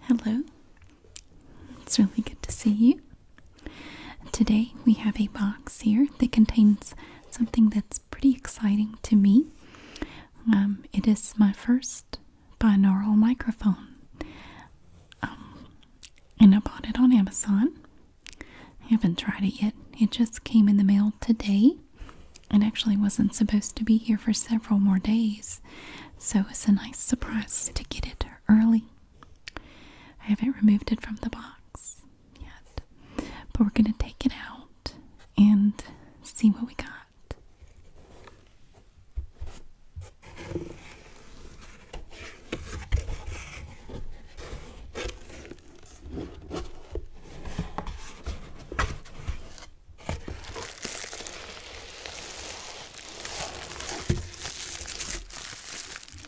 Hello, it's really good to see you. Today we have a box here that contains something that's pretty exciting to me. Um, it is my first binaural microphone, um, and I bought it on Amazon. I haven't tried it yet, it just came in the mail today. It actually wasn't supposed to be here for several more days, so it's a nice surprise to get it early. I haven't removed it from the box yet, but we're going to take it out and see what we got. I'm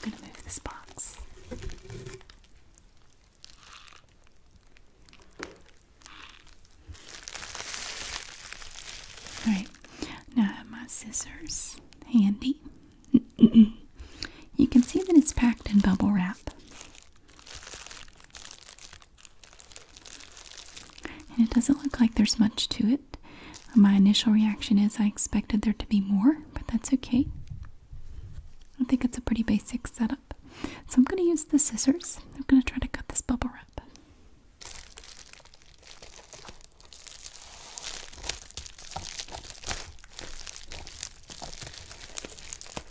going to move this box. All right, now I have my scissors handy. you can see that it's packed in bubble wrap. And it doesn't look like there's much to it. My initial reaction is I expected there to be more, but that's okay. I think it's a pretty basic setup. So I'm going to use the scissors. I'm going to try to cut this bubble wrap.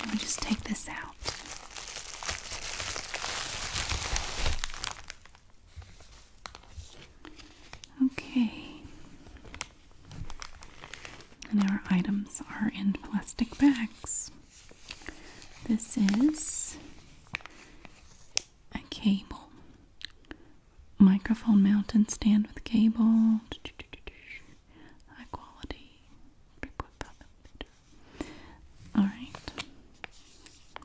Let me just take this out. Okay. And our items are in plastic bags. This is a cable. Microphone mount and stand with cable. High quality. All right.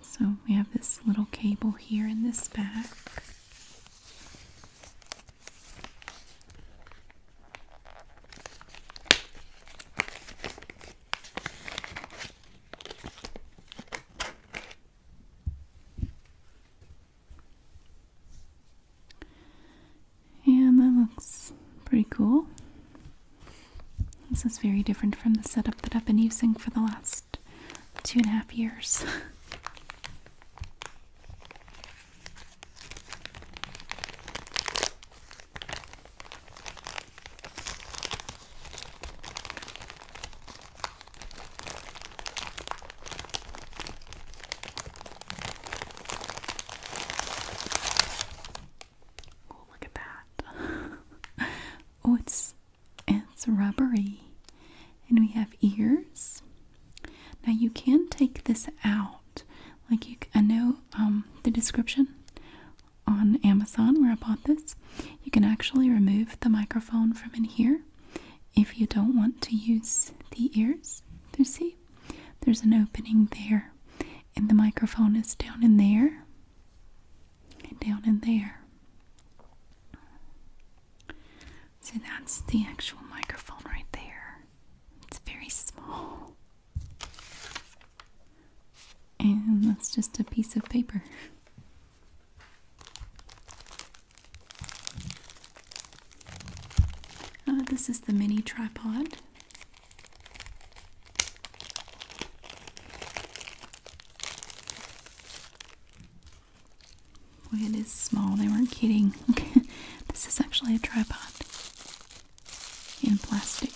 So we have this little cable here in this back. And that looks pretty cool. This is very different from the setup that I've been using for the last two and a half years. Oh, look at that. oh, it's it's rubbery. And we have ears. Now you can take this out. Like you I know um, the description on Amazon where I bought this, you can actually remove the microphone from in here if you don't want to use the ears. You see, there's an opening there, and the microphone is down in there and down in there. So that's the actual microphone right there. It's very small. And that's just a piece of paper. Uh, this is the mini tripod. Boy, it is small. They weren't kidding. this is actually a tripod in plastic.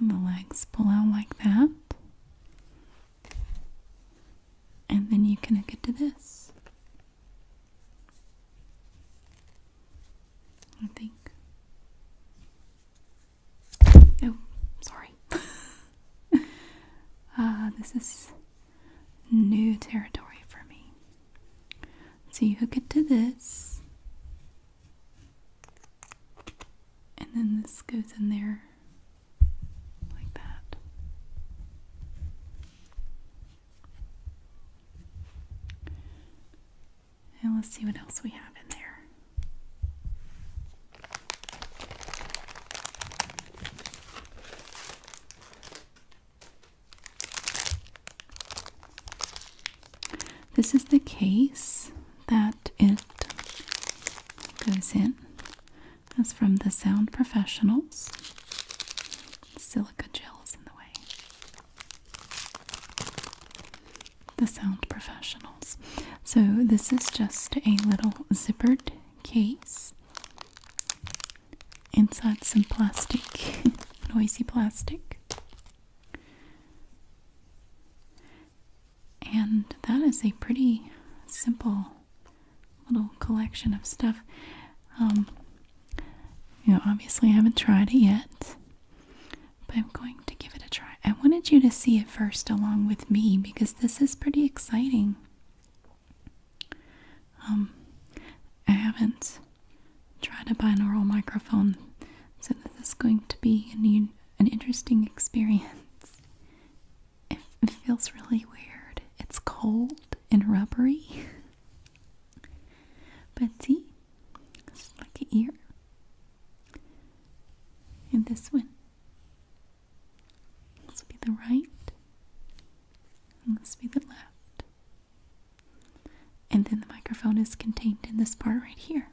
And the legs pull out like that. And then you connect it to this. I think. Oh, sorry. uh, this is new territory for me. So you hook it to this, and then this goes in there like that. And let's see what else we have in there. This is the case that it goes in. That's from the Sound Professionals. Silica gels in the way. The Sound professional. So, this is just a little zippered case. Inside some plastic, noisy plastic. And that is a pretty simple little collection of stuff. Um, you know, obviously, I haven't tried it yet, but I'm going to give it a try. I wanted you to see it first along with me because this is pretty exciting. Um, I haven't tried a binaural microphone, so this is going to be an, an interesting experience. It, it feels really weird. It's cold and rubbery. But see, it's like an ear. And this one. This will be the right. And this will be the left. And then the microphone is contained in this part right here.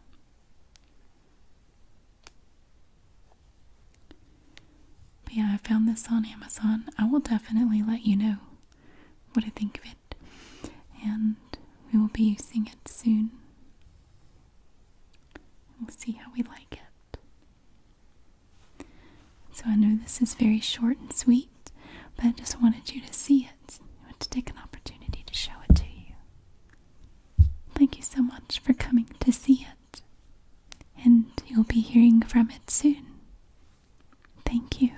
yeah, I found this on Amazon. I will definitely let you know what I think of it. And we will be using it soon. We'll see how we like it. So I know this is very short and sweet, but I just wanted you to see it. I want to take an opportunity to show it to you. Thank you so much for coming to see it, and you'll be hearing from it soon. Thank you.